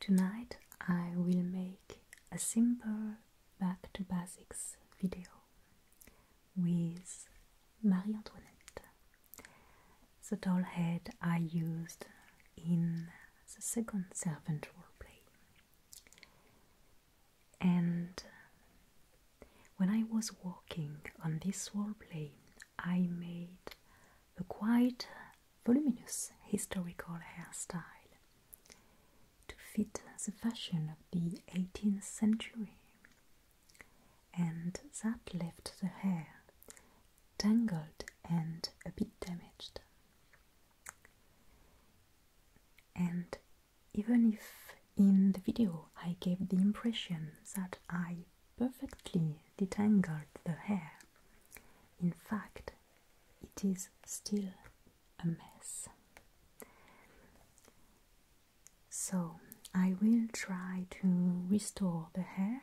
Tonight I will make a simple back to basics video with Marie Antoinette. The doll head I used in the second servant play. And when I was working on this roleplay, I made a quite voluminous historical hairstyle to fit the fashion of the 18th century, and that left the hair tangled and a bit damaged. And even if in the video I gave the impression that I perfectly detangled the hair, in fact, it is still a mess. So I will try to restore the hair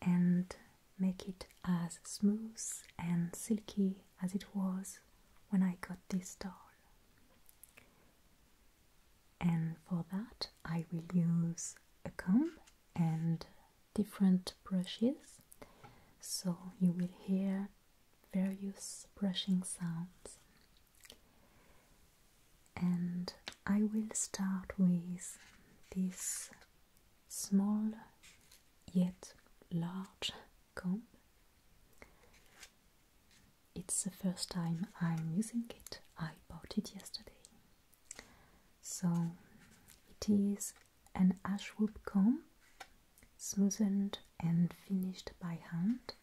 and make it as smooth and silky as it was when I got this doll. And for that, I will use a comb and different brushes so you will hear various brushing sounds and I will start with this small yet large comb. It's the first time I'm using it. I bought it yesterday. So it is an ashwood comb, smoothed and finished by hand.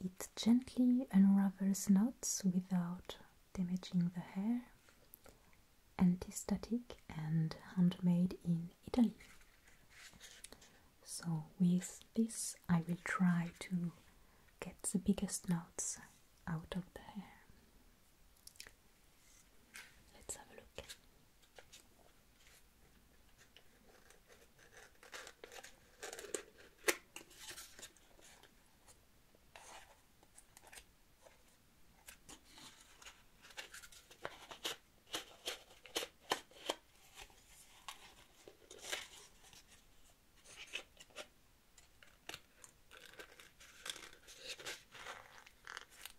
It gently unravels knots without damaging the hair. Anti-static and handmade in Italy. So with this I will try to get the biggest knots out of the hair. Let's have a look.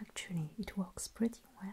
Actually, it works pretty well.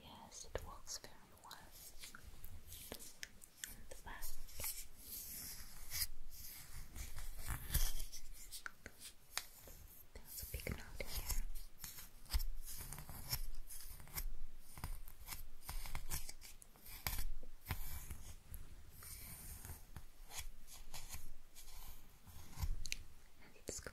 Yes, it works very well. There's a big note here. And it's gone.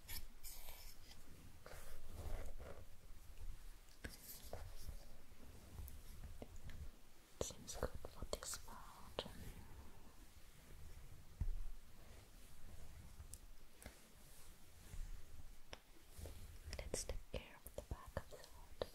Seems good for this part. Let's take care of the back of the head.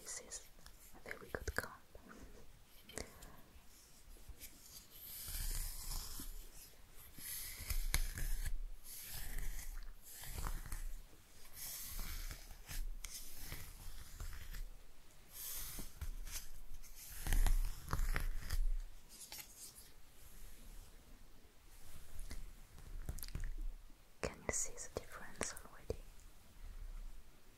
This is a very good comp. Can you see the difference already?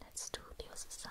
Let's do the other side.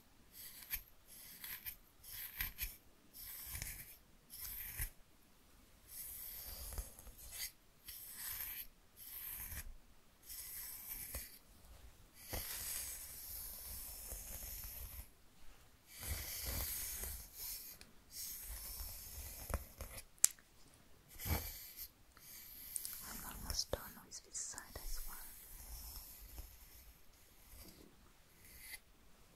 I'm almost done with this side as well.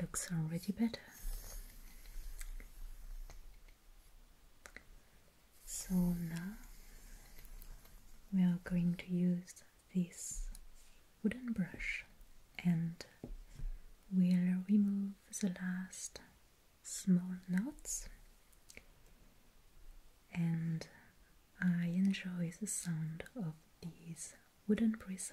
It looks already better. So now we are going to use this wooden brush and we'll remove the last small knots and I enjoy the sound of these wooden bristles.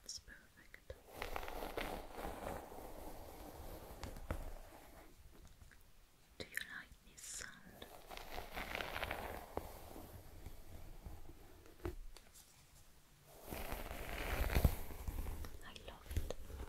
That's perfect. Do you like this sound? I love it.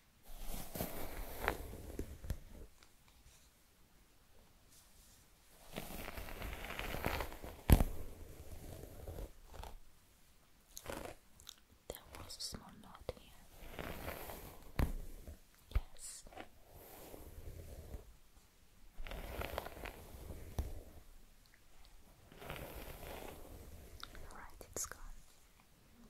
There was a small knot here. Yes. All right, it's gone.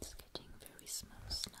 It's getting very small snow.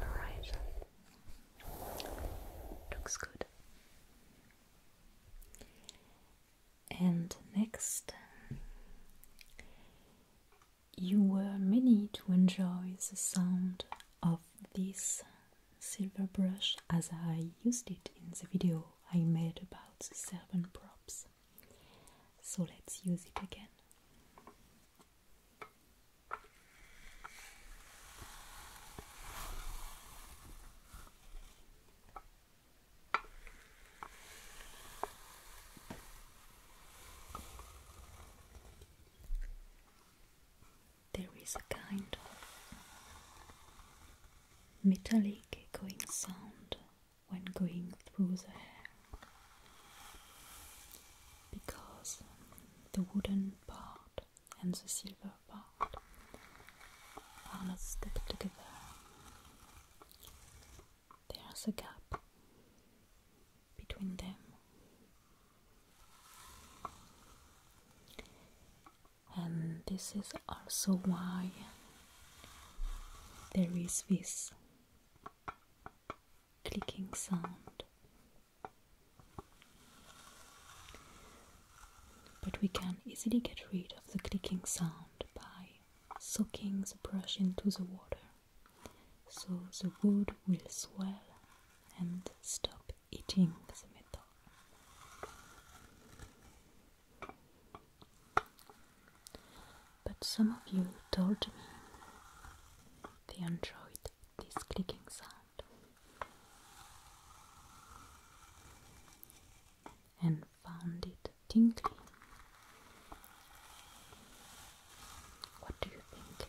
Alright. Looks good. And next, you were many to enjoy the sound of this silver brush as I used it in the video I made about the Serbian props. So let's use it again there is a kind of metallic echoing sound when going through the hair because the wooden part and the silver part are not stuck together. There's a gap between them and this is also why there is this clicking sound. But we can easily get rid of the clicking sound by soaking the brush into the water. So the wood will swell and stop eating the metal. But some of you told me they enjoyed this clicking sound. And found it tingly. What do you think?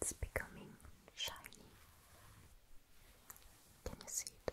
It's becoming shiny. Can you see it?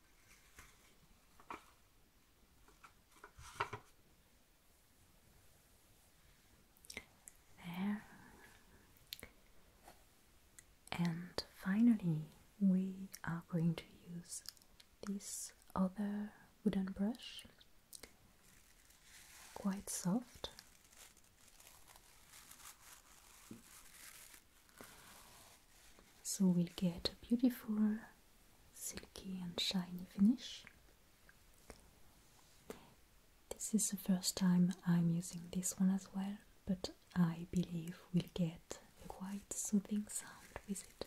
There. And finally, we are going to use this other wooden brush, quite soft so we'll get a beautiful silky and shiny finish. This is the first time I'm using this one as well, but I believe we'll get a quite soothing sound with it.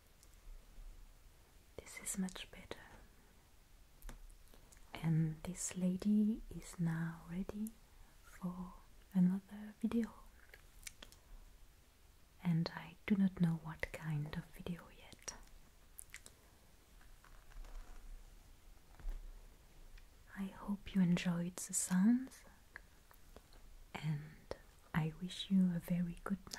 This is much better. And this lady is now ready for another video. And I do not know what kind of video yet. I hope you enjoyed the sounds and I wish you a very good night.